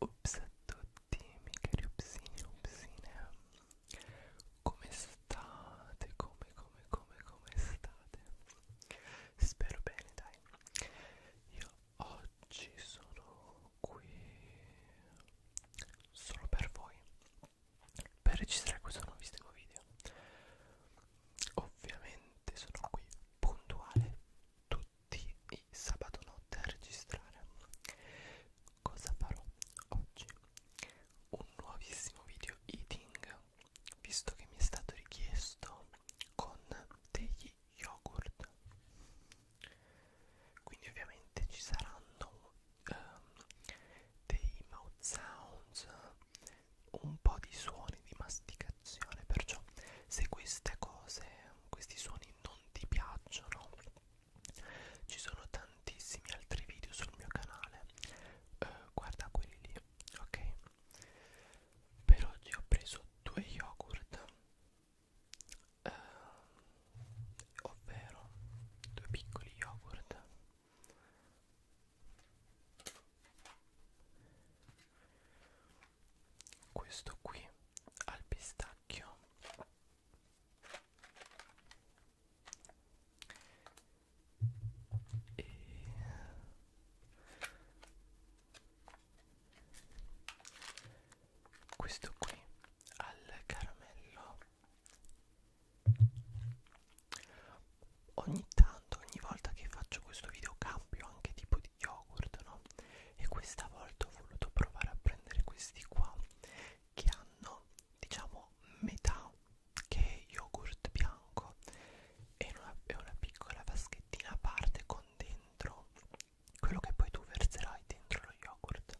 Ups a tutti, miei cari upsini, upsine Come state? Come, come, come, come state? Spero bene, dai Io oggi sono qui solo per voi per registrare questo nuovissimo video ovviamente sono qui puntuale tutti i sabato notte a registrare cosa farò oggi un nuovissimo video eating visto che mi è stato richiesto con degli yogurt quindi ovviamente ci saranno um, dei mouth sounds, un po' di suoni di masticazione, perciò se queste cose, questi suoni non ti piacciono, ci sono tantissimi altri video sul mio canale, eh, guarda quelli lì, ok? Per oggi ho preso due yogurt, eh, ovvero due piccoli yogurt questo qui al pistacchio e questo qui al caramello ogni tanto ogni volta che faccio questo video cambio anche tipo di yogurt no e questa volta ho voluto provare a prendere questi qua che hanno diciamo metà che è yogurt bianco e una, è una piccola vaschettina a parte con dentro quello che poi tu verserai dentro lo yogurt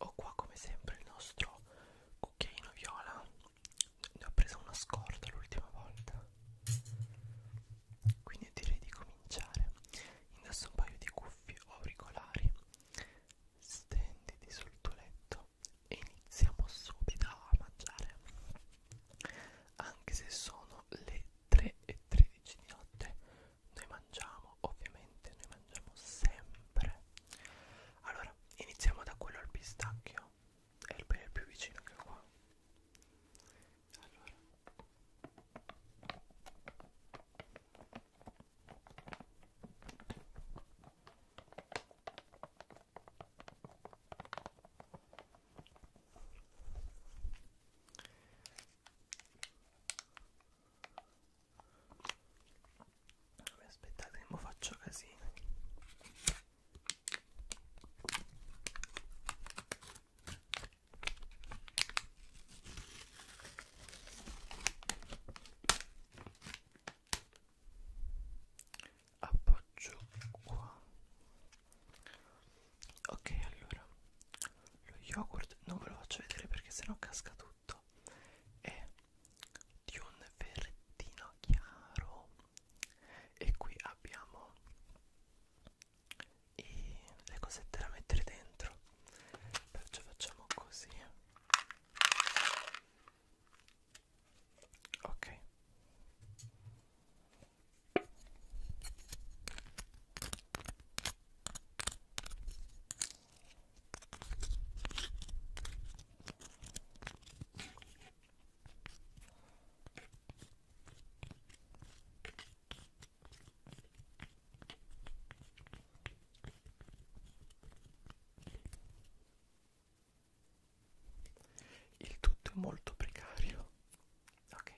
ho qua come sempre il nostro cucchiaino viola ne ho preso una scorta l'ultima volta quindi direi di cominciare indosso un paio di cuffie o auricolari stenditi sul tuo letto e iniziamo subito a mangiare anche se sono le 3 e 13 di notte noi mangiamo ovviamente noi mangiamo sempre allora iniziamo da quello al pistacchio è il pene più vicino che qua allora Vabbè, aspettate che mi faccio casino appoggio qua ok allora lo yogurt non ve lo faccio vedere perché sennò casca tutto tutto è di un verdino chiaro e qui abbiamo i, le cosette da mettere dentro perciò facciamo così ok il tutto è molto precario. Ok.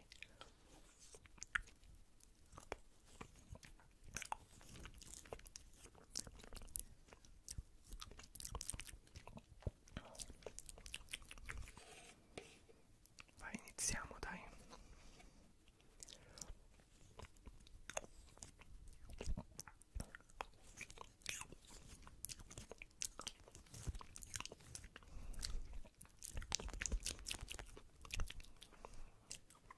Vai, iniziamo, dai.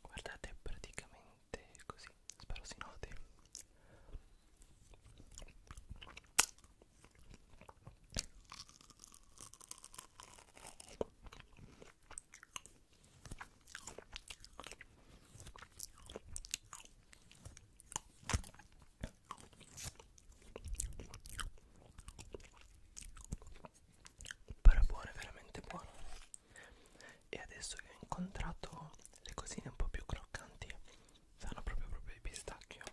Guardate è praticamente così, spero si noti però è buona, è veramente buona e adesso che ho incontrato le cosine un po' più croccanti sanno proprio proprio di pistacchio oh.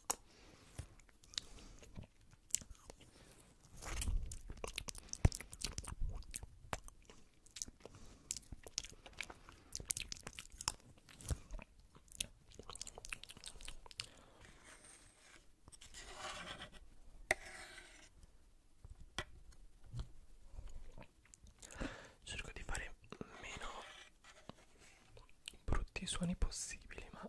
Cerco di fare meno brutti suoni possibili ma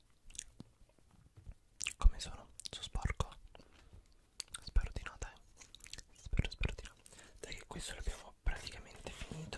Come sono? Sono sporco? Spero di no, dai. Spero, spero di no. Dai che questo l'abbiamo praticamente finito.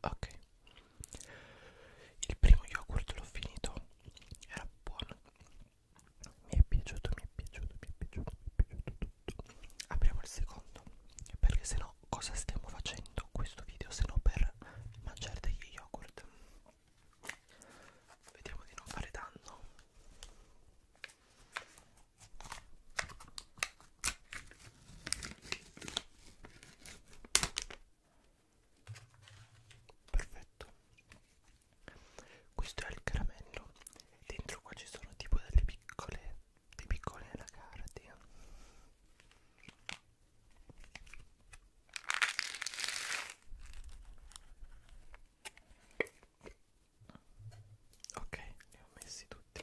Ok, il primo yogurt l'ho finito, era buono mi è piaciuto, mi è piaciuto, mi è piaciuto, mi è piaciuto tutto. Apriamo il secondo, perché se no cosa stiamo facendo questo video se no per mangiare degli yogurt? Vediamo di non fare danno. Perfetto questo è il caramello dentro qua ci sono tipo delle piccole dei piccoli anacardi ok li ho messi tutti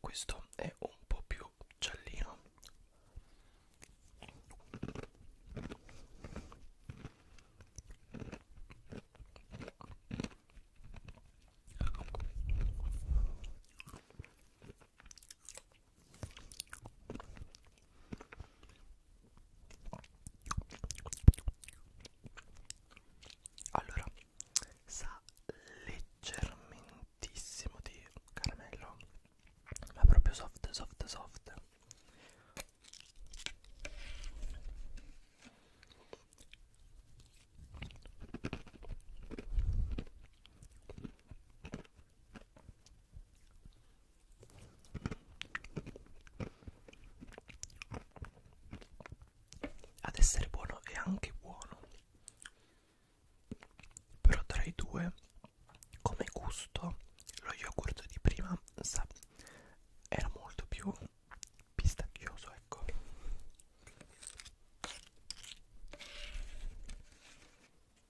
Questo è un po' più giallino. Allora, sa leggermentissimo di caramello, ma proprio soft, soft, soft. Ad essere buono è anche buono, però tra i due, come gusto, lo yogurt di prima sa, era molto più pistacchioso, ecco.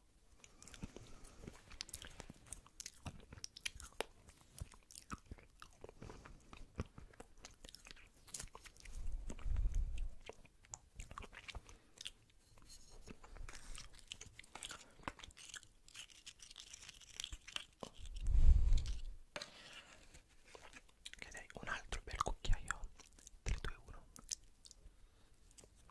Ok, dai, un altro bel cucchiaio 3, 2, 1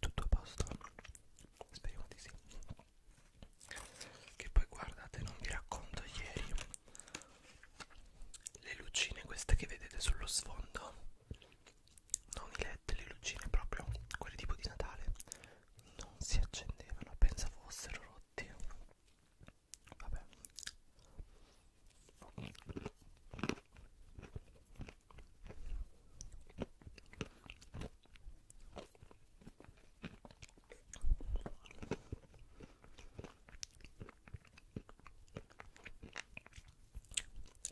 Tutto a posto? Speriamo di sì che poi guardate non vi racconto ieri le lucine queste che vedete sullo sfondo non i led le lucine proprio quelle tipo di Natale non si accendevano pensa fossero rotti vabbè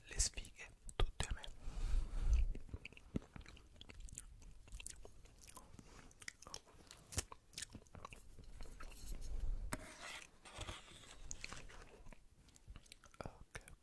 le sfighe tutte a me ok ok ok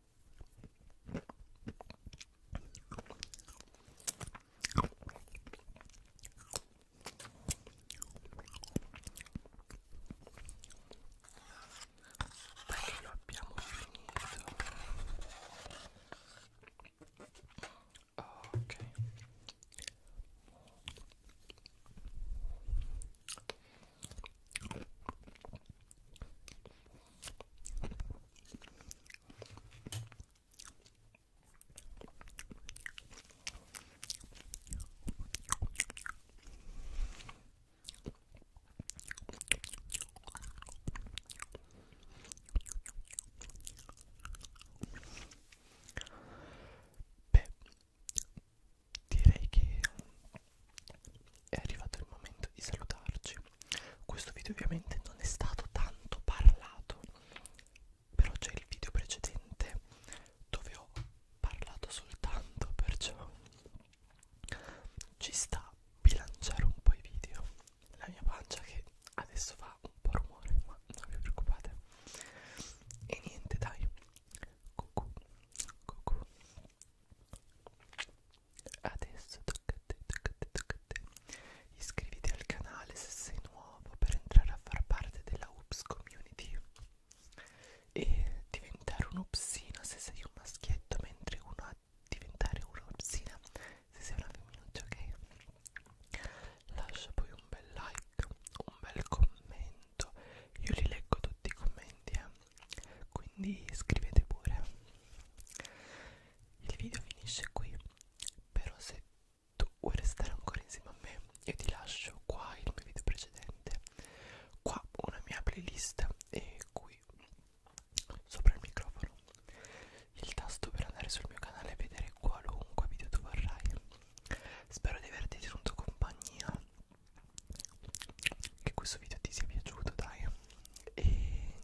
Bello, abbiamo finito. Ah, ok. Beh, direi che è arrivato il momento di salutarci. Questo video ovviamente non è stato tanto parlato, però c'è il video precedente dove ho parlato soltanto, perciò ci sta bilanciare un po' i video. La mia pancia che adesso fa un po' rumore, ma non vi preoccupate. E niente, dai. Cucù, cucù. Adesso tocca a te, tocca a te, tocca a te. Iscriviti al canale se sei nuovo per entrare a far parte della UPS community e diventare un upsino se sei un maschietto, mentre uno a diventare una upsina se sei una femminuccia, ok? Lascia poi un bel like, un bel commento. Io li leggo tutti i commenti, eh? quindi scrivete pure il video finisce qui però se tu vuoi restare ancora insieme a me io ti lascio qua il mio video precedente qua una mia playlist e qui sopra il microfono il tasto per andare sul mio canale e vedere qualunque video tu vorrai spero di averti tenuto compagnia che questo video ti sia piaciuto dai e niente